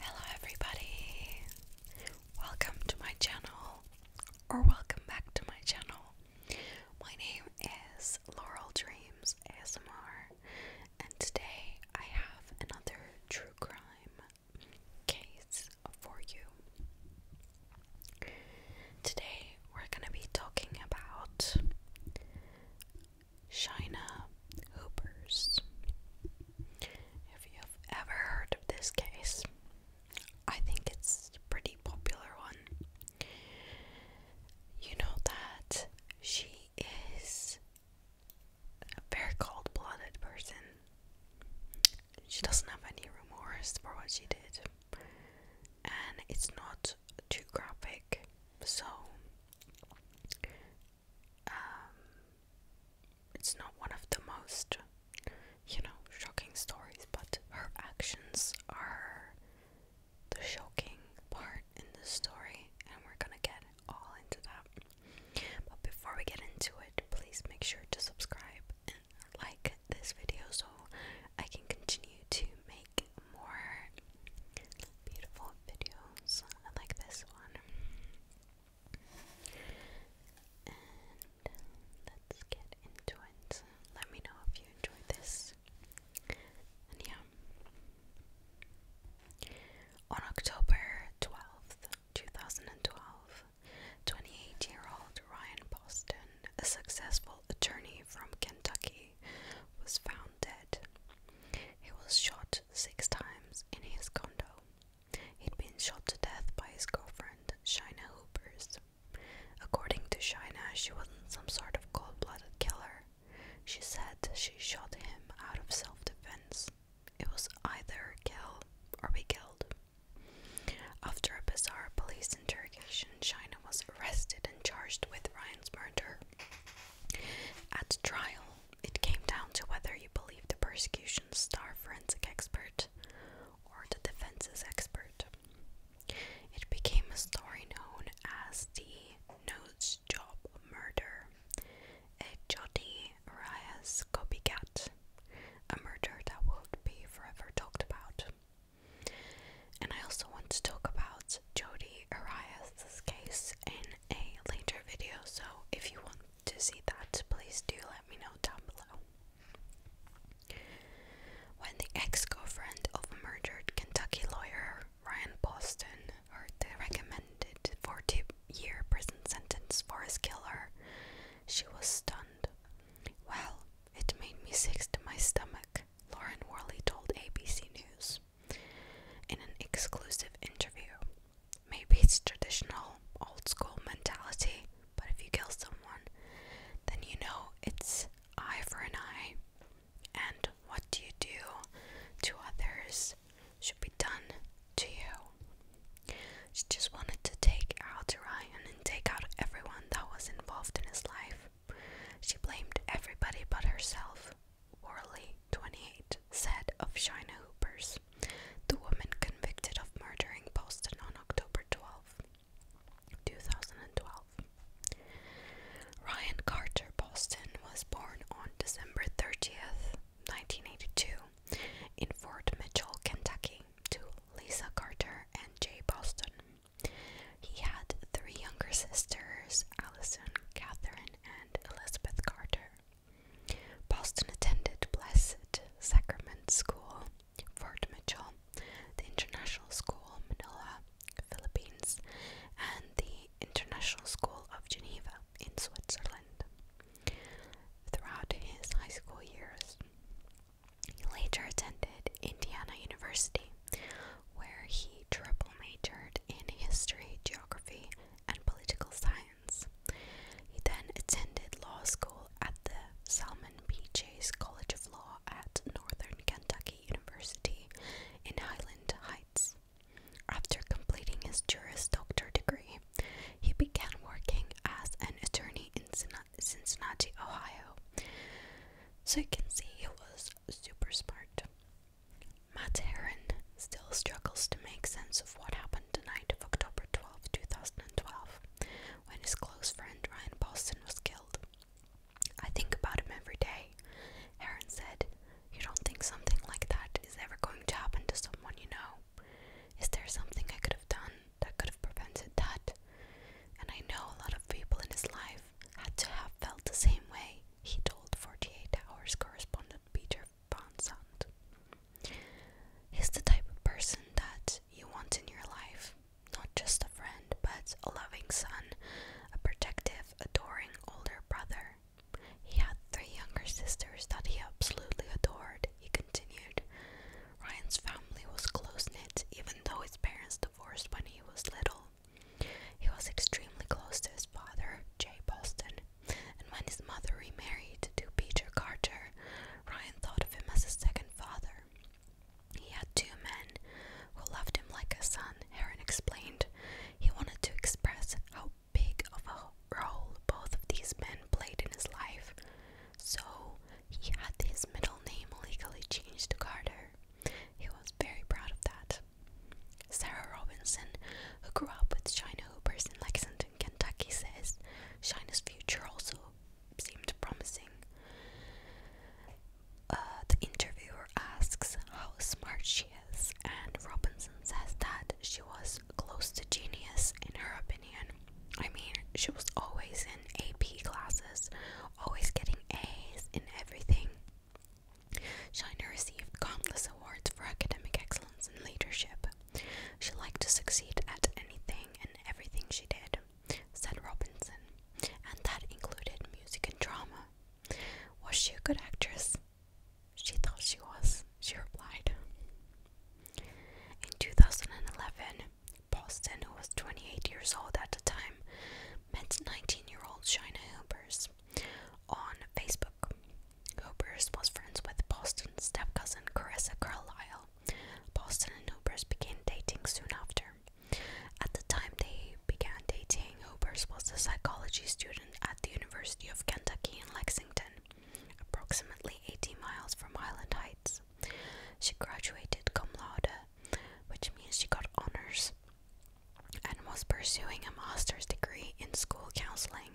Hello, everybody! Welcome to my channel, or welcome back to my channel. My name is Laurel Dreams ASMR, and today I have another true crime case for you. Today we're gonna be talking about Shina Hoopers. If you've ever heard of this case, I think it's a pretty popular one. You know that she is a very cold blooded person. She doesn't have any remorse for what she did, and it's not too graphic, so um, it's not one of the most, you know, shocking stories, but her actions are the shocking part in the story, and we're gonna get all into that. But before we get into it, please make sure to subscribe and like this video so I can continue to make more beautiful videos I like this one. let's get into it. Let me know if you enjoyed this. And yeah. On October 12th, 2012, 28 year old Ryan Boston, a successful attorney from Kentucky, was found dead he was shot six times in his condo. He'd been shot to death by his girlfriend, Shina Hoopers. According to Shina, she wasn't some sort of cold blooded killer. She said she shot him out of self defense. It was either kill or be killed. After a bizarre police interrogation, Shina was arrested and charged with Ryan's murder. At trial, it came down to whether you believed the prosecution's star forensic expert or the defense's expert. It became a story known as the "Notes Job Murder, a Jodi Arias copycat, a murder that will be forever talked about. And I also want to talk about Jodi Arias' case in a later video, so if you want to see that, please do let me know down below. When the ex girlfriend of murdered Kentucky lawyer Ryan Boston heard the recommended 40 year prison sentence for his killer, she was stunned. Well, it made me sick to my stomach, Lauren Worley told ABC News. In an exclusive interview, maybe it's traditional, old school mentality, but if you kill someone, then you know it's eye for an eye, and what you do to others should be done to you. She just wanted to take out Ryan and take out everyone that was involved in his life. She blamed everybody but herself. Worley, 28, said of Shina Hoopers, the woman convicted of murdering Boston on October twelfth, two 2012. Ryan Carter Boston was born on December 30th, 1982, in Fort Mitchell, Kentucky, to Lisa Carter and Jay Boston. He had three younger sisters, Allison, Catherine, and Elizabeth Carter. Boston attended Blessed Sacrament School, Fort Mitchell, the International School, Manila, Philippines, and the International School of Geneva in Switzerland. Throughout his high school years, he later attended Indiana University, where he triple majored in history, geography, and political science. He then attended law school at the Salmon P. Chase College of Law at Northern Kentucky University in Highland Heights. After completing his Juris Doctor degree, he began working as an attorney in Cincinnati, Ohio. So you can see he was super smart. Matt Heron still struggles to make sense of what happened the night of October 12, 2012, when his close friend Ryan Boston was killed. I think about him every day, Heron said. You don't think something like that is ever going to happen to someone you know? Is there something I could have done that could have prevented that? And I know a lot of people in his life had to have felt the same way, he told 48 Hours correspondent Peter Van He's the type of person that you want in your life, not just a friend, but a loving son, a protective, adoring older brother. He had three younger sisters that he absolutely adored, he continued. Ryan's family was close knit, even though his parents divorced when he was little. He was extremely close to his father, Jay Boston, and when his mother remarried to Peter Carter, Ryan thought of him as his second father. He had two men who loved him like a son, Heron explained. He wanted to express how big of a role both of these men played in his life, so he had his middle name legally changed to Carter. He was very proud of that. Sarah Robinson, who grew up with China Hoopers in Lexington, Kentucky, says China's future also seemed promising. Uh, the interviewer asks how smart she is, and Robinson says that she was close to genius in her opinion. I mean, she was always in AP classes, always getting A's in everything. Shiner received countless awards for academic excellence and leadership. She liked to succeed at anything and everything she did, said Robinson, and that included music and drama. Was she a good actress? She thought she was, she replied. In 2011, Boston, who was 28 years old at the time, met 19 year old Shina Hooper's on Facebook. Hooper's was friends with Boston's step-cousin Carissa Carlisle. Boston and Hooper's began dating soon after. At the time they began dating, Hooper's was a psychology student at the University of Kentucky in Lexington, approximately 80 miles from Highland Heights. She graduated cum laude, which means she got honors and was pursuing a master's degree in school counseling.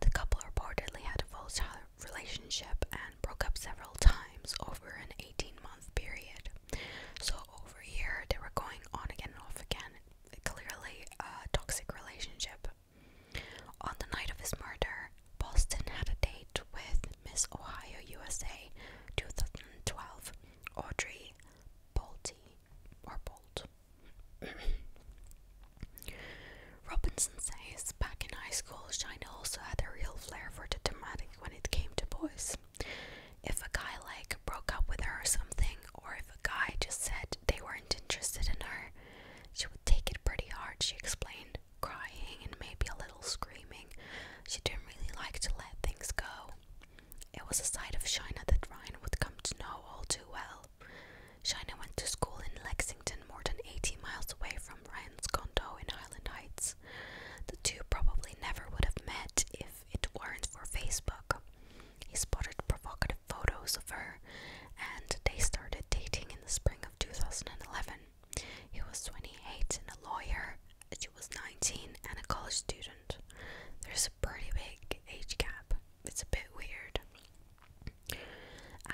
The couple reportedly had a volatile relationship and broke up several times over an 18 month period. So, over a year, they were going on again and off again. Clearly, a toxic relationship. On the night of his murder, Boston had a date with Miss Ohio USA 2012, Audrey Bolte. Robinson says, back in high school, China also had a real flair for the dramatic when it came to boys. If a guy like broke up with her or something, or if a guy just said they weren't interested in her, she would take it pretty hard, she explained, crying and maybe a little screaming. She didn't really like to let things go. It was a side of Shaina that Ryan would come to know all too well. Shaina went to school in Lexington, more than 80 miles away from Ryan's condo in Highland Heights. The two probably never would have met if it weren't for Facebook. He spotted provocative photos of her, and they started dating in the spring of 2011. He was 28 and a lawyer, she was 19 and a college student. There's a pretty big age gap. It's a bit weird.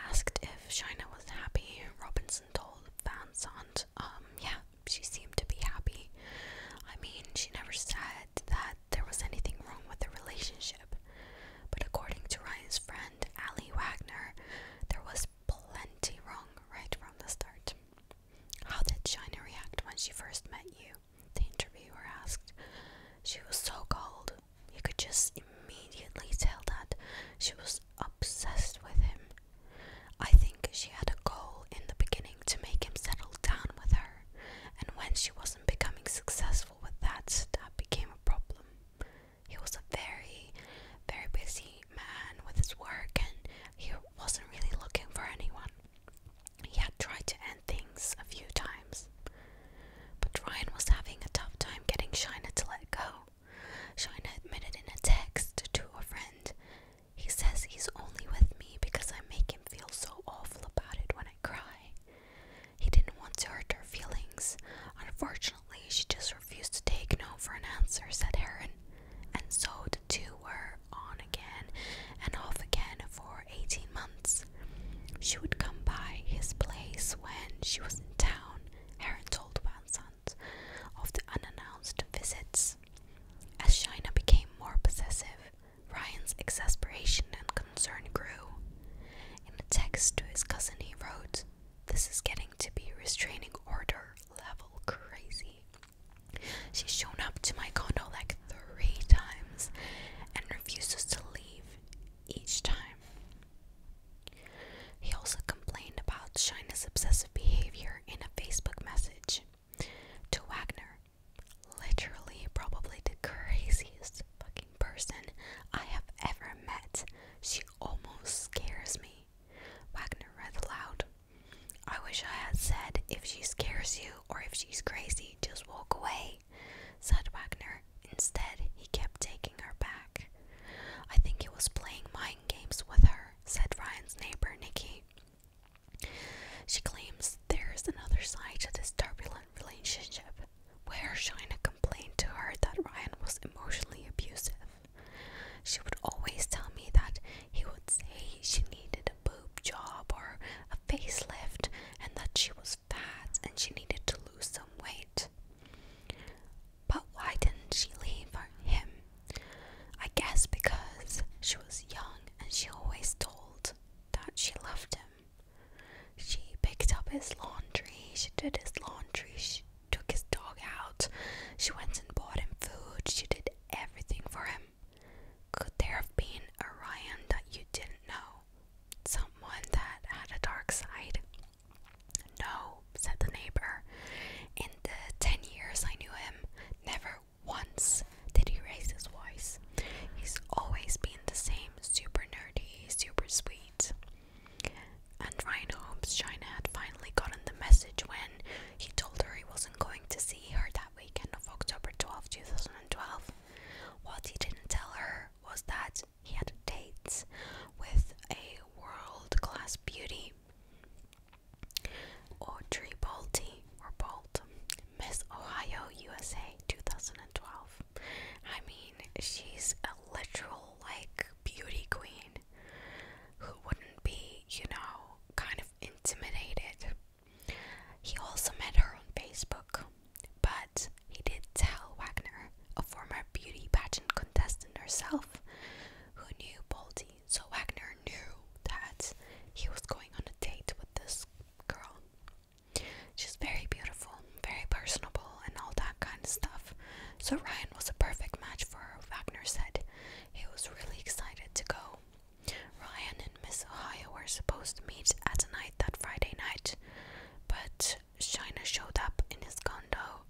Asked if Shina was happy, Robinson told Van Sant, um, yeah, she seemed to be happy. I mean, she never said that there was anything wrong with the relationship. But according to Ryan's friend, Ali Wagner, there was plenty wrong right from the start. How did Shina react when she first met you? the interviewer asked. She was so cold. You could just immediately tell that she was obsessed with him. I think she had a goal in the beginning to make him settle down with her, and when she wasn't becoming successful with that, that became a problem. He was a very, very busy man with his work, and he wasn't really looking for anyone. He had tried to end things a few times, but Ryan was having a tough time getting Shina to let go. Shina admitted in a text to a friend. He says he's only with me because I make him feel so awful about it when I cry. He didn't want to hurt her feelings. Unfortunately, she just refused to take no for an answer, said Aaron, and so did too were on again and off again for 18 months. She would come by his place when she was in town, Heron told Van Sant of the unannounced visits. As Shina became more possessive, Ryan's exasperation and concern grew. In a text to his cousin, he wrote, This is getting to be restraining order level crazy. She's shown up to my condo like three times and refuses to leave each time. He also complained about Shina's obsessive behavior in a Facebook message to Wagner. Literally, probably the craziest fucking person I have ever met. She almost scares me. Wagner read aloud. I wish I had said, if she scares you, or if she's crazy, just walk away, said Wagner. Instead, he kept taking her back. I think he was playing mind games with her, said Ryan's neighbor, Nikki. She claims there is another side to this turbulent relationship, where Shina complained to her that Ryan was emotionally abusive. She would always tell me that he would say she needed a boob job or a facelift and that she was fat and she needed to lose some weight. But why didn't she leave him? I guess because she was young and she always told that she loved him. She picked up his laundry, she did his laundry, she took his dog out, she went and bought him food, she did everything for him. Could there have been a Ryan that you didn't know? Someone that had a dark side? No, said the neighbor. In the ten years I knew him, never once did he raise his voice. He's always been the same, super nerdy, super sweet. And Ryan hopes China had finally gotten the message when he told her he wasn't going to see her weekend of October 12, 2012. What he didn't tell her was that he had dates with a world class beauty, Audrey Bolte, or Bolt, Miss Ohio, USA 2012. I mean, she's a literal, like, beauty queen who wouldn't be, you know, kind of intimidated he also met her on Facebook, but he did tell Wagner, a former beauty pageant contestant herself, who knew Baldy, so Wagner knew that he was going on a date with this girl. She's very beautiful, very personable, and all that kind of stuff. So Ryan was a perfect match for her, Wagner said. He was really excited to go Ryan and Miss Ohio were supposed to meet at night that Friday night, but Shiner showed up in his condo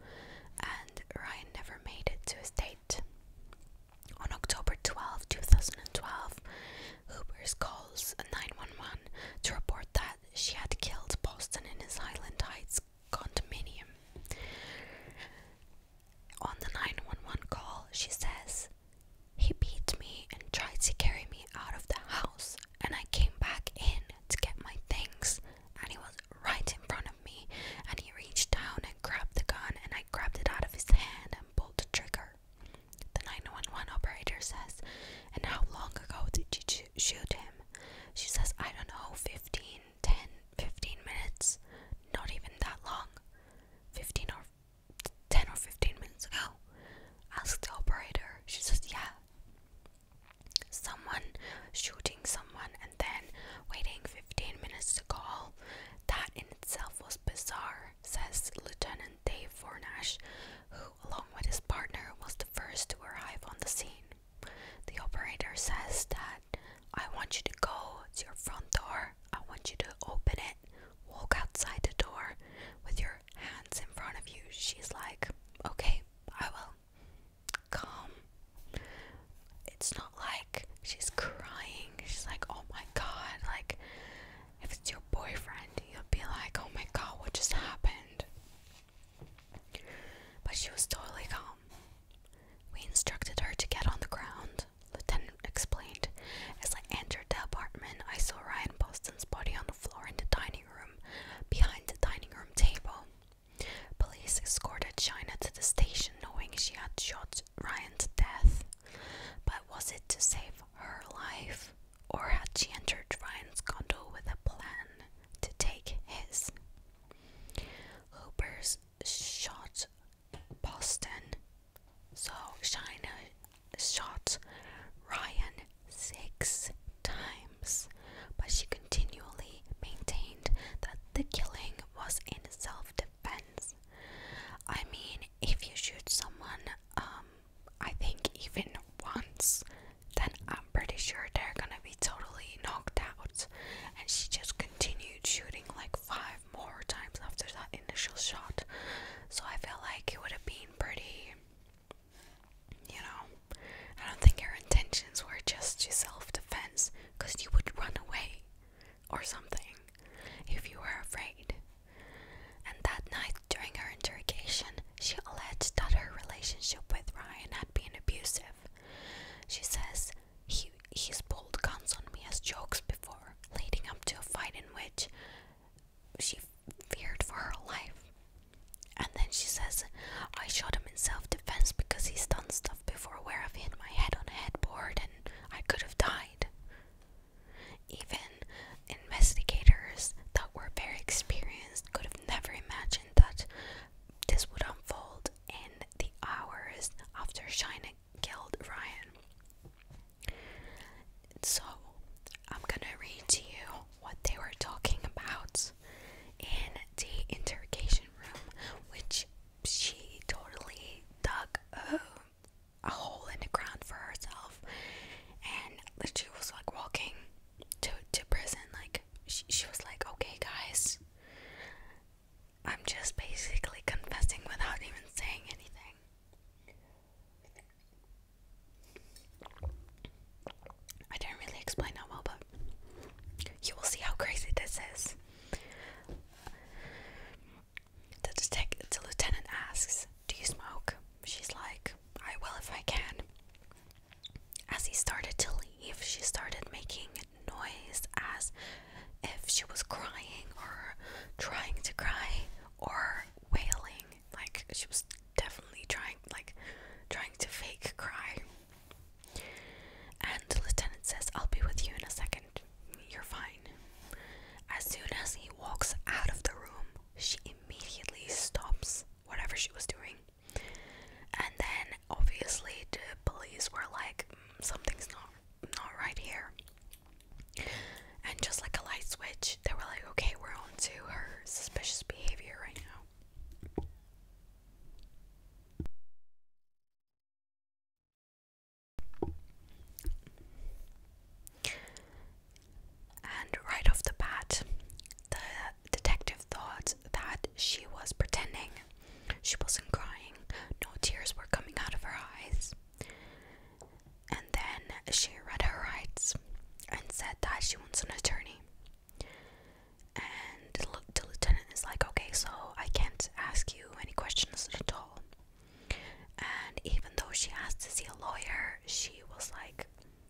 and Ryan never made it to his date. On October twelfth, two 2012, Hooper's calls 911 to report that she had killed Boston in his Highland Heights condominium. On the 911 call, she says, he beat me and tried to carry me out of the house, and I came back in to get my things, and he was right in front of me, and he reached down and grabbed the gun, and I grabbed it out of his hand and pulled the trigger. The 911 operator says, And how long ago did you shoot him? She says, I don't know, 15, 10, 15 minutes. Not even that long. 15 or 10 or 15 minutes ago. Asked the operator. She says, Yeah. Someone shooting someone and then waiting 15 minutes to call. That in itself was bizarre, says Lieutenant Dave Fornash, who, along with his partner, was the first to arrive on the scene. The operator says that I want you to go to your front door, I want you to open it." walk outside the door with your hands in front of you. She's like, okay, I will. Calm. It's not like she's crying. She's like, oh my god. Like, if it's your boyfriend, you'll be like, oh my god, what just happened? But she was totally calm. We instructed her to get on the ground Lieutenant explained. As I entered the apartment, I saw Ryan Boston's body on the floor in the dining room, behind the dining room table. Police escorted China to the station knowing she had shot Ryan to death. But was it to save her life? Or had she entered Ryan's condo with a plan to take his? Hooper's shot Boston. So China shot Ryan six times, but she continually maintained that the killing was in self defense. I mean, if you shoot someone, um, I think even once, then I'm pretty sure they're gonna be totally knocked out. And she just continued shooting like five more times after that initial shot. So I feel like it would have been pretty, you know, I don't think your intentions were just self defense because you would run away or something if you were afraid. And that night during her interrogation, she alleged that her relationship with Ryan had been abusive. She says, he, he's pulled guns on me as jokes before leading up to a fight in which she feared for her life. And then she says, I shot him in self defense because he's done stuff before where I've hit my head on a headboard and I could have died. Even investigators that were very experienced could have never imagined that this would unfold in the hours after shining killed Ryan. So, I'm gonna read to you what they were talking about in the interrogation room, which she totally dug a, a hole in the ground for herself and she was like walking to, to prison. Like, she was like, okay, guys. I'm just basically confessing without even saying anything. I didn't really explain that well, but you will see how crazy this is. The detective, the lieutenant asks, "Do you smoke?" She's like, "I will if I can." As he started to leave, she started making noise as if she was crying or trying to cry or wailing. Like she was definitely trying like trying to fake cry. And the lieutenant says, I'll be with you in a second. You're fine. As soon as he walks out of the room, she immediately stops whatever she was doing. And then obviously the police were like, mm, something's not not right here. And just like a light switch, they were like, okay, we're on to her suspicious behavior right now. And right off the bat, the detective thought that she was pretending. She wasn't crying, no tears were coming out of her eyes. And then she read her rights and said that she wants an attorney. And the, lieutenant is like, okay, so I can't ask you any questions at all. And even though she asked to see a lawyer, she was like,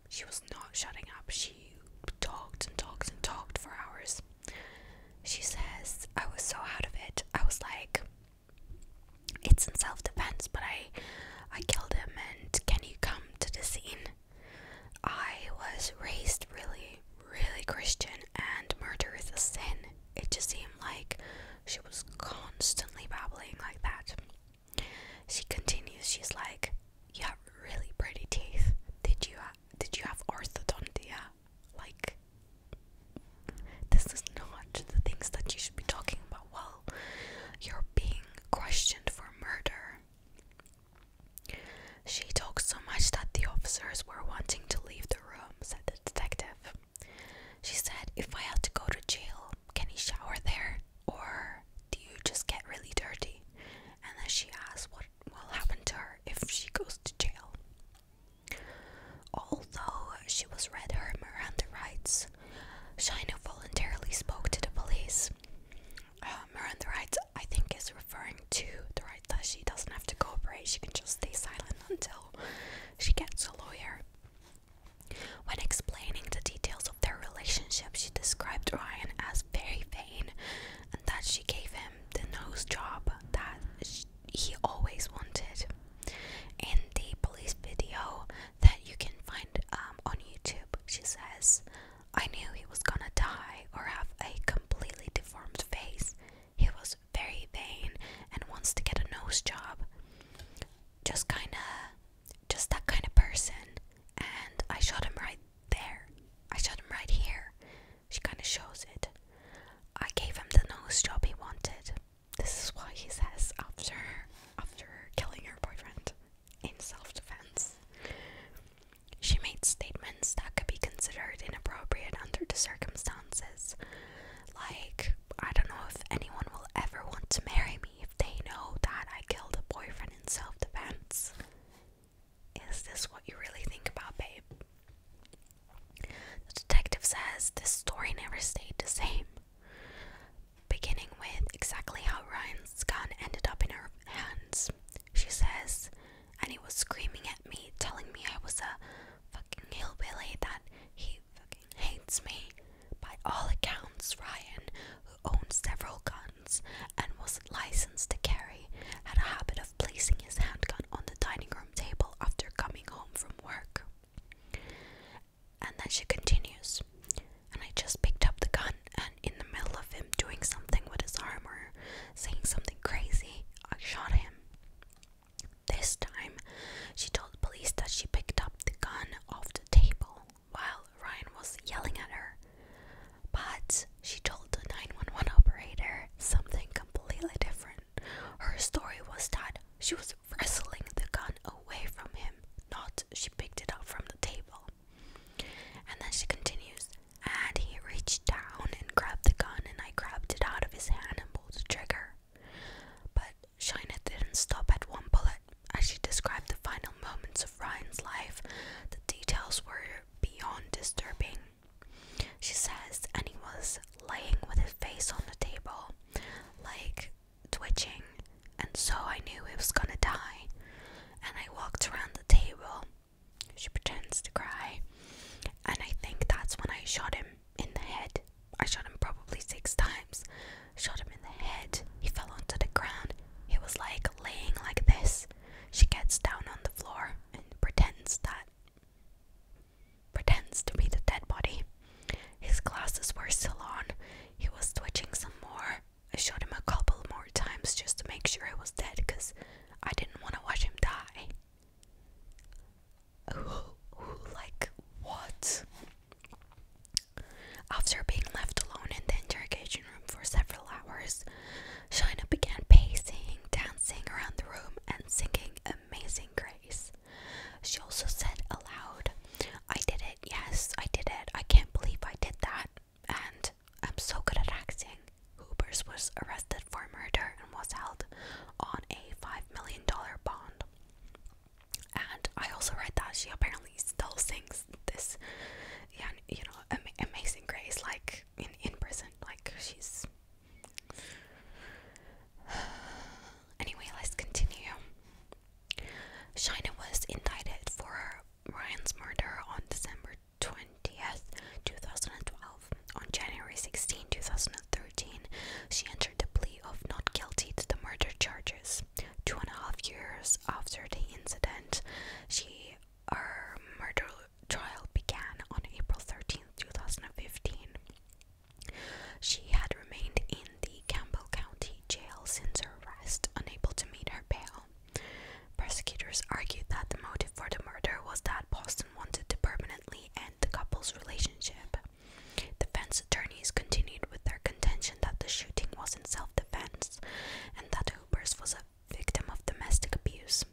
she was not shutting up. She talked and talked and talked for hours. She says, I was so out of it. I was like, it's in self defense, but I I killed him and can you come to the scene? I was raised really, really Christian and murder is a sin. It just seemed like she was constantly babbling like that. She continues, she's like, You have really pretty teeth. Did you did you have orthodontia? Like this is not the things that you should be talking about while you're being questioned for murder. She talked so much that the officers were wanting to leave the room, said the detective. She said, If I had to go to jail, can you shower there? Or do you just get really dirty? And then she asked what will happen to her if she goes to jail. Although she was read her Miranda rights, Shaina voluntarily spoke to the police. Miranda rights, I think, is referring to the right that she doesn't have to cooperate, she can just stay silent until she gets a lawyer. When explaining the details of their relationship, she described Ryan as very vain and that she gave him the nose job that she, he always wanted. In the police video that you can find um, on YouTube, she says, I knew he was gonna die or have a completely deformed face. He was very vain and wants to get a nose job. Just kinda, just that kind of person. And I shot him right there. I shot him right here. She kinda shows it. I gave him the nose job he wanted. This is what he says after after killing her boyfriend in self-defense. She made statements that could be considered inappropriate under the circumstances. Like, I don't know if anyone will ever want to marry me if they know that I killed a boyfriend in self defense. Is this what you really think about, babe? The detective says this story never stayed the same. Beginning with exactly how Ryan's gun ended up in her hands, she says, and he was screaming at me, telling me I was a fucking hillbilly, that he fucking hates me. By all accounts, Ryan, who owned several guns and was licensed to carry, had a habit of placing his handgun on the dining room table after coming home from work. And then she continues. And I just picked up the gun, and in the middle of him doing something with his arm or saying something crazy, I shot him. This time, she told the police that she picked up the gun off the table while Ryan was yelling at her. But she told the 911 operator something completely different. Her story was that she was wrestling the gun away from him, not she picked it up from the table. And then she continues, and he reached down and grabbed the gun, and I grabbed it out of his hand and pulled the trigger. But Shina didn't stop at one bullet. As she described the final moments of Ryan's life, the details were beyond disturbing. She says, and he was laying with his face on the table, like twitching, and so I knew it was gonna die. And I walked around the table. She pretends to cry, and I think that's when I shot him in the head. I shot him probably six times. Shot him in the head. He fell onto the ground. He was like laying like this. She gets down on the floor and pretends that pretends to be the dead body. His glasses were still on. He was twitching some more. I shot him a couple more times just to make sure he was dead because I didn't want to watch him die. like, what? After being left alone in the interrogation room for several hours, Shina began pacing, dancing around the room, and singing Amazing Grace. She also said aloud, I did it, yes, I did it. I can't believe I did that. And I'm so good at acting. Hoopers was arrested for murder and was held on a five million dollar bond. And I also read that she apparently still sings this, yeah, you know, amazing grace like in in prison. Like she's Anyway, let's continue. Shina was indicted for Ryan's murder on December 20th, 2012. On January 16, 2013, she entered the plea of not guilty to the murder charges. Two and a half years after the incident, she her murder trial began on April 13, 2015. She had remained in the Campbell County Jail since her arrest, unable to meet her bail. Prosecutors argued that the motive for the murder was that Boston wanted to permanently end the couple's relationship. Defense attorneys continued with their contention that the shooting was in self defense and that Hoopers was a victim of domestic abuse.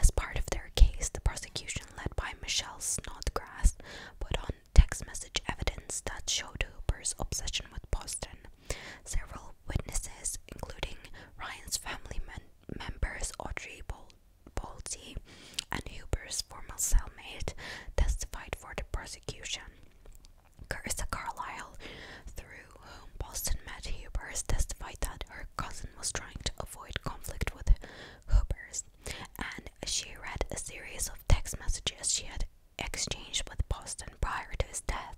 As part of their case, the prosecution, led by Michelle Snodgrass, put on text message evidence that showed Hooper's obsession with Boston. Several witnesses, including Ryan's family men members Audrey Bol Bolte and Hooper's former cellmate, testified for the prosecution. Carissa Carlisle, through whom Boston met Hooper's, testified that her cousin was trying to avoid conflict with Hooper's and she read a series of text messages she had exchanged with Boston prior to his death.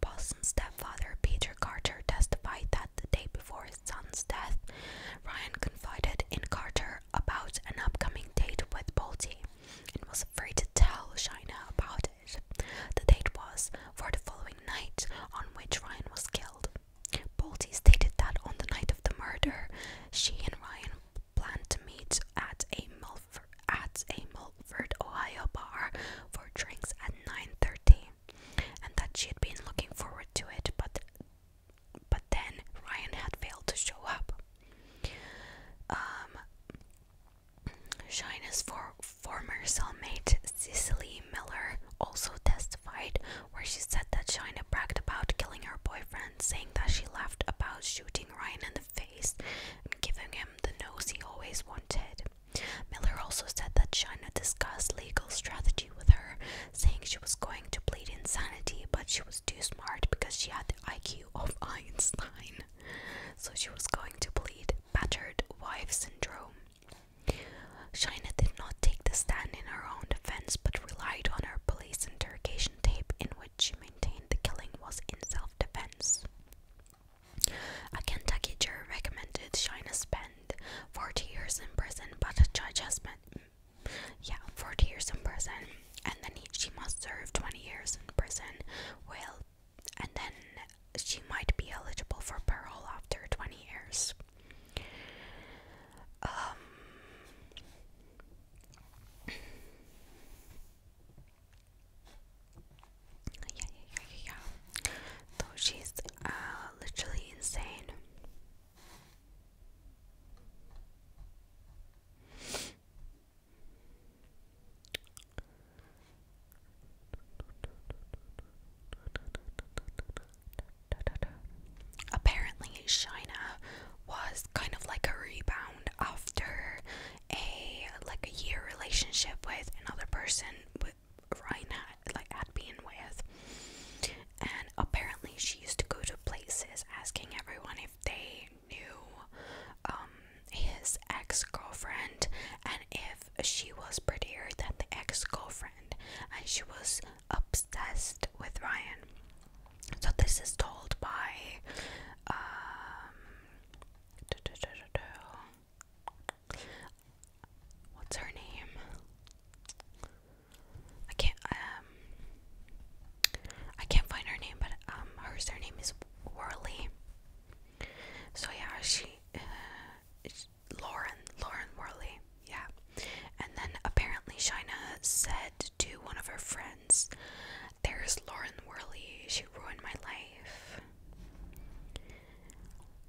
Boston's stepfather, Peter Carter, testified that the day before his son's death, Ryan confided in Carter about an upcoming date with Bolte and was afraid to tell Shina about it. The date was for the following night on which Ryan was killed. Bolte stated that on the night of the murder, she and Ryan planned to meet at a Milford, at a Milford, Ohio bar for drinks at 9:30, and that she had been looking forward to it, but but then Ryan had failed to show up. Um, for, former cellmate Cicely Miller also testified where she said that Shaina bragged about killing her boyfriend, saying that she laughed about shooting Ryan in the face and giving him the nose he always wanted. Miller also said that Shaina discussed legal strategy with her, saying she was going to plead insanity, but she was too smart because she had the IQ of Einstein. So she was going to plead battered wife syndrome. Shaina did not take the stand in her own defense but relied on her interrogation tape in which she maintained the killing was in self defense. A Kentucky jury recommended Shina spend 40 years in prison, but a judge has meant, yeah, 40 years in prison, and then she must serve 20 years in prison, well, and then she might be eligible for parole after 20 years. Um, yeah, yeah, yeah, yeah, yeah. So she's uh, literally insane. Apparently, China was kind of like a rebound after a like a year relationship with another person with Ryan had, like had been with, and apparently she used to go to places asking everyone if they knew um, his ex girlfriend and if she was prettier than the ex girlfriend, and she was obsessed with Ryan. So this is told by um what's her name? I can't um, I can't find her name, but um hers. her name is Worley. So yeah, she uh, Lauren Lauren Worley yeah. And then apparently Shaina said to one of her friends, There's Lauren Worley, she ruined my life.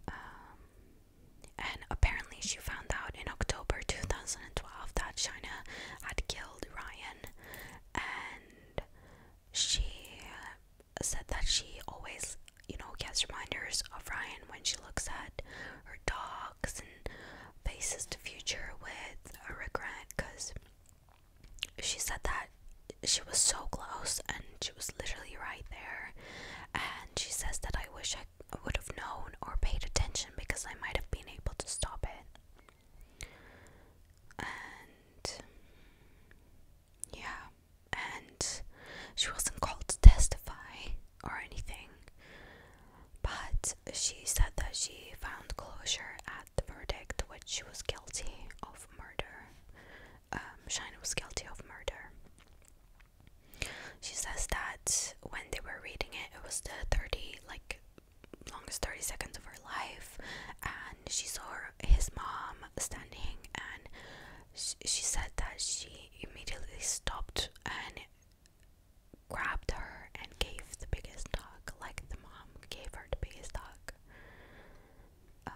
Um, and apparently she found out in October 2012 that Shaina had killed Ryan and she uh, said that she always you know gets reminders of Ryan when she looks at her dog talks and faces the future with a regret because she said that she was so close and she was literally right there. And she says that I wish I would have known or paid attention because I might have been able to stop it. And yeah, and she wasn't called to testify or anything, but she said that she found closure at the verdict, which she was guilty of murder. Um, was guilty of murder. She says that when they were reading it, it was the 30, like, longest 30 seconds of her life, and she saw his mom standing, and she, she said that she immediately stopped and grabbed her and gave the biggest dog, like the mom gave her the biggest dog. Um,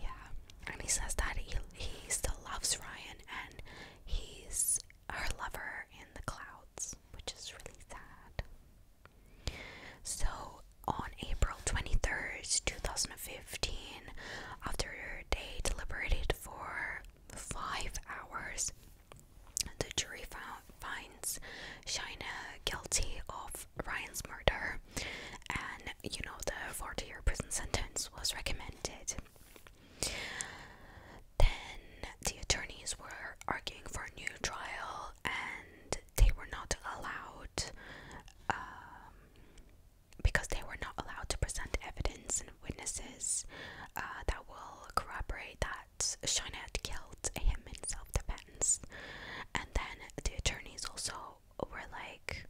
yeah, and he says that he he still loves Ryan and he's her lover in the clouds, which is really sad. So on April twenty third, two thousand and fifteen, after they deliberated for five hours, the jury finds Shina guilty of Ryan's murder, and you know, the 40 year prison sentence was recommended. Then the attorneys were arguing for a new trial, and they were not allowed. Um, because they were not allowed to present evidence witnesses uh, that will corroborate that Shinette killed him in self defense. And then the attorneys also were like,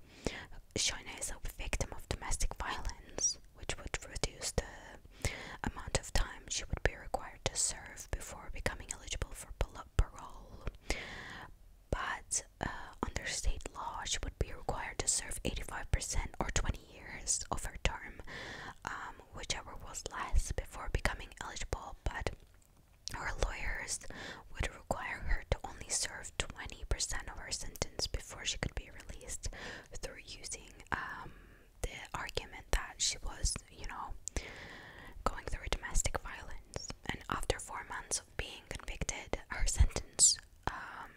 Shina is a victim of domestic violence, which would reduce the amount of time she would be required to serve before becoming eligible for parole. But uh, under state law, she would be required to serve 85% or 20 years of her term, um, whichever was less, before becoming eligible, but her lawyers would require her to only serve 20% of her sentence before she could be released through using um, the argument that she was, you know, going through domestic violence. And after four months of being convicted, her sentence um,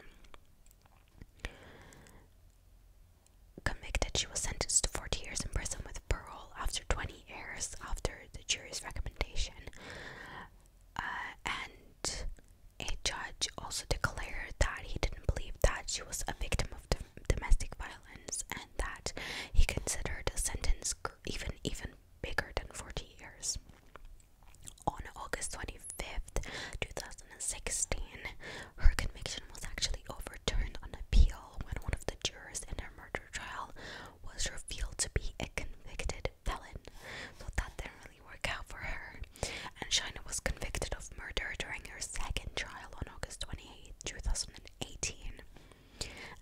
Convicted, she was sentenced to 40 years in prison with parole after 20 years after the jury's recommendation. Uh, and a judge also declared that he didn't believe that she was a victim of domestic violence and that he considered a sentence even even bigger than 40 years on August 25th, 2016, her conviction was actually overturned on appeal when one of the jurors in her murder trial was revealed to be a convicted felon. So that didn't really work out for her. And Shaina was convicted of murder during her second trial on August twenty eighth, two 2018.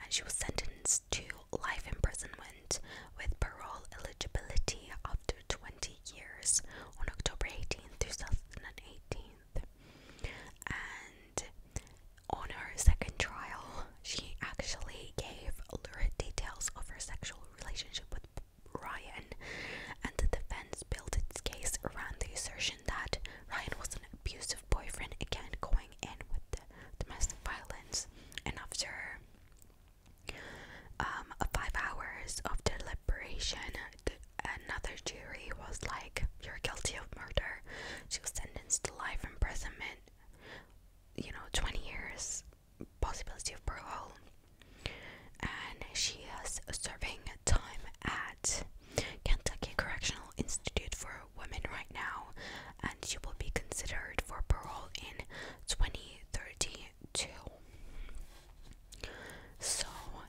And she was sentenced to life imprisonment with parole eligibility after 20 20 years on October 18, 2018. And on her second trial, she actually gave lurid details of her sexual relationship with Ryan, and the defense built its case around the assertion that Ryan was an abusive boyfriend, again going in with the domestic violence. And after um, five hours of deliberation. Another jury was like, "You're guilty of murder." She was sentenced to life imprisonment. You know, 20 years, possibility of parole, and she is serving time at Kentucky Correctional Institute for Women right now, and she will be considered for parole in 2032. So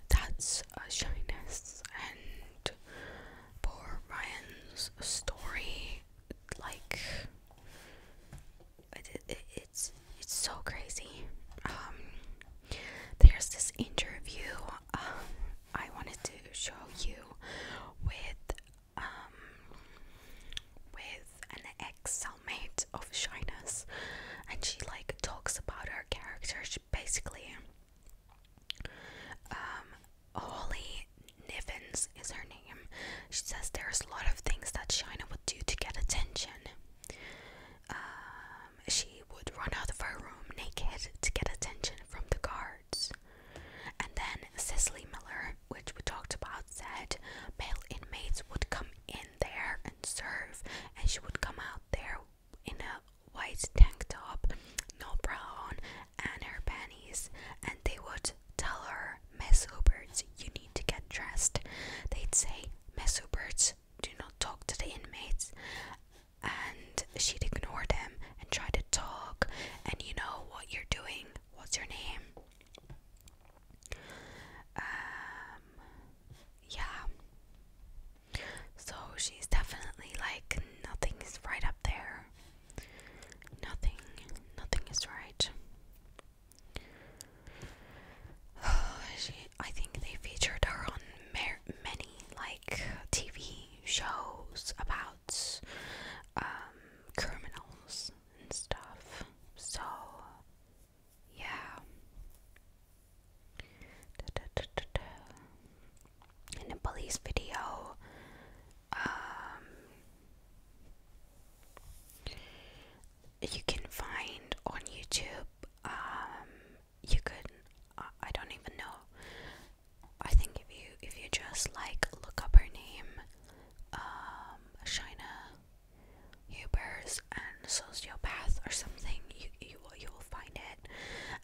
that's uh, shyness and poor Ryan's story. Like it's it's so crazy. Um, there's this interview um, I wanted to show you with um, with an ex cellmate of Shyness, and she like talks about her character. She basically, um, Holly Nivens is her name. She says there's a lot of things that Shina would do to get attention. Um, she would run out of her room naked to get attention from the guards. And then Cicely Miller, which we talked about, said male inmates would come in there and serve and she would come out there in a white tank top, no bra on, and her panties, and they would tell her, Miss Huberts, you need to get dressed. They'd say, Miss Huberts, do not talk to the inmates. And she'd ignore them and try to talk, and you know what you're doing, what's your name? Um, yeah. So she's definitely like, nothing is right up there. Nothing, nothing is right. she, I think they featured her on many like TV shows about um, criminals and stuff. So yeah. In a police video, um, you can find on YouTube. Um, you could, I don't even know. I think if you if you just like look up her name, um, Ubers and sociopath or something. You you you will find it,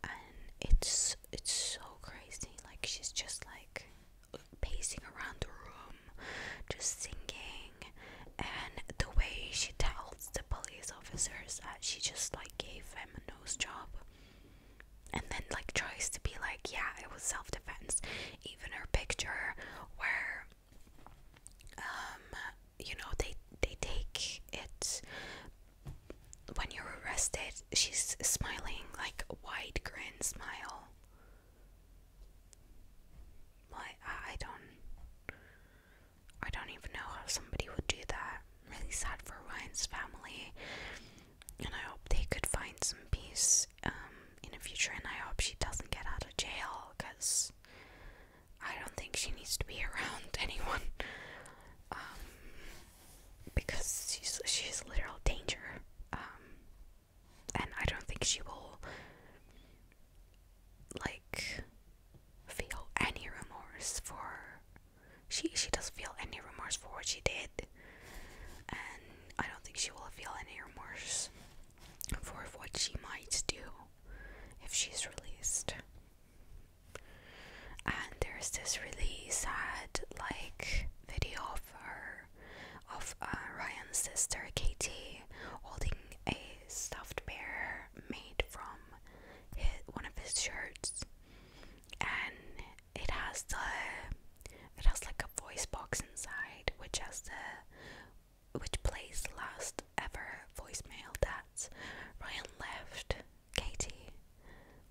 and it's it's so crazy. Like she's just like pacing around the room, just singing, and the way she tells the police officers that she just like gave him a nose job, and then like tries to be like, yeah, it was self defense. Even her picture where um, you know they they take it when you're arrested she's smiling like a wide grin smile I, I don't I don't even know how somebody would do that. really sad for Ryan's family, and I hope they could find some peace um, in the future. And I hope she doesn't get out of jail, cause I don't think she needs to be around anyone. Um, because she's she's literal danger. Um, and I don't think she will like feel any remorse for she she doesn't feel any remorse for what she did. And I don't think she will feel any remorse for what she might do if she's released. And there's this really sad, like, video of her, of uh, Ryan's sister Katie, holding a stuffed bear made from his, one of his shirts, and it has the, it has like a voice box inside, which has the which plays last ever voicemail that Ryan left Katie,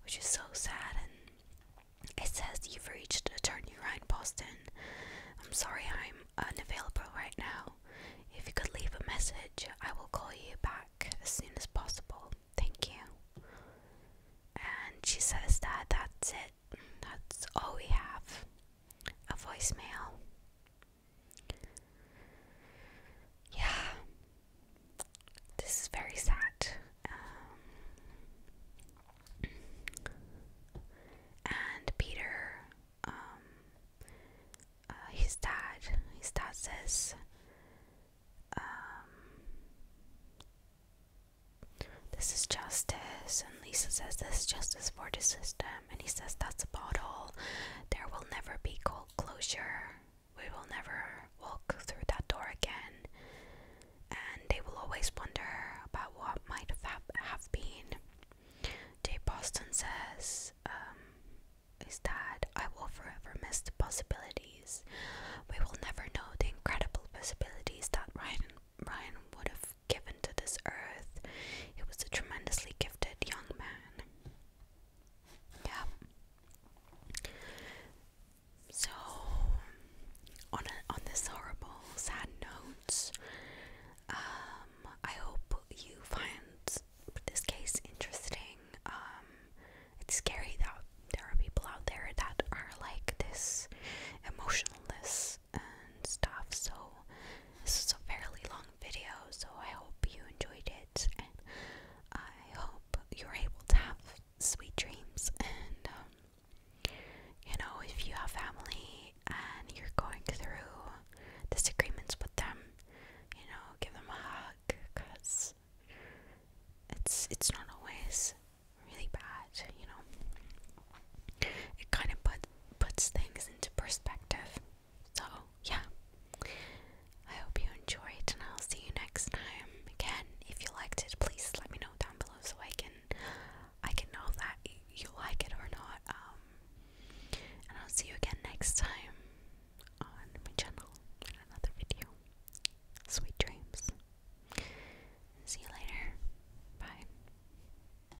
which is so sad. And it says, You've reached attorney Ryan Boston. I'm sorry I'm unavailable right now. If you could leave a message, I will call you back as soon as possible. Thank you. And she says that that's it. That's all we have. A voicemail. Yeah, this is very sad. Um, and Peter, um, uh, his dad, his dad says, um, this is justice, and Lisa says, This is justice for the system and he says, That's about all. There will never be closure. We will never walk through that door again. And they will always wonder about what might have, have been. Dave Boston says, um, Is I will forever miss the possibilities. We will never know the incredible possibilities that Ryan, Ryan would have given to this earth. He was a tremendously gifted young man. Yeah. So, on on this horrible, sad note, um, I hope you find this case interesting. Um, it's scary that there are people out there that are like this, emotionless and stuff. So, this is a fairly long video, so I hope you enjoyed it, and I hope you're able to have sweet dreams. And, um, you know, if you have family and you're going through disagreements with them, you know, give them a hug because it's it's not always really bad, you know it kind of put, puts things into perspective. So, yeah. I hope you enjoyed, and I'll see you next time. Again, if you liked it, please let me know down below so I can I can know that you like it or not. Um, and I'll see you again next time on my channel in another video. Sweet dreams. See you later. Bye.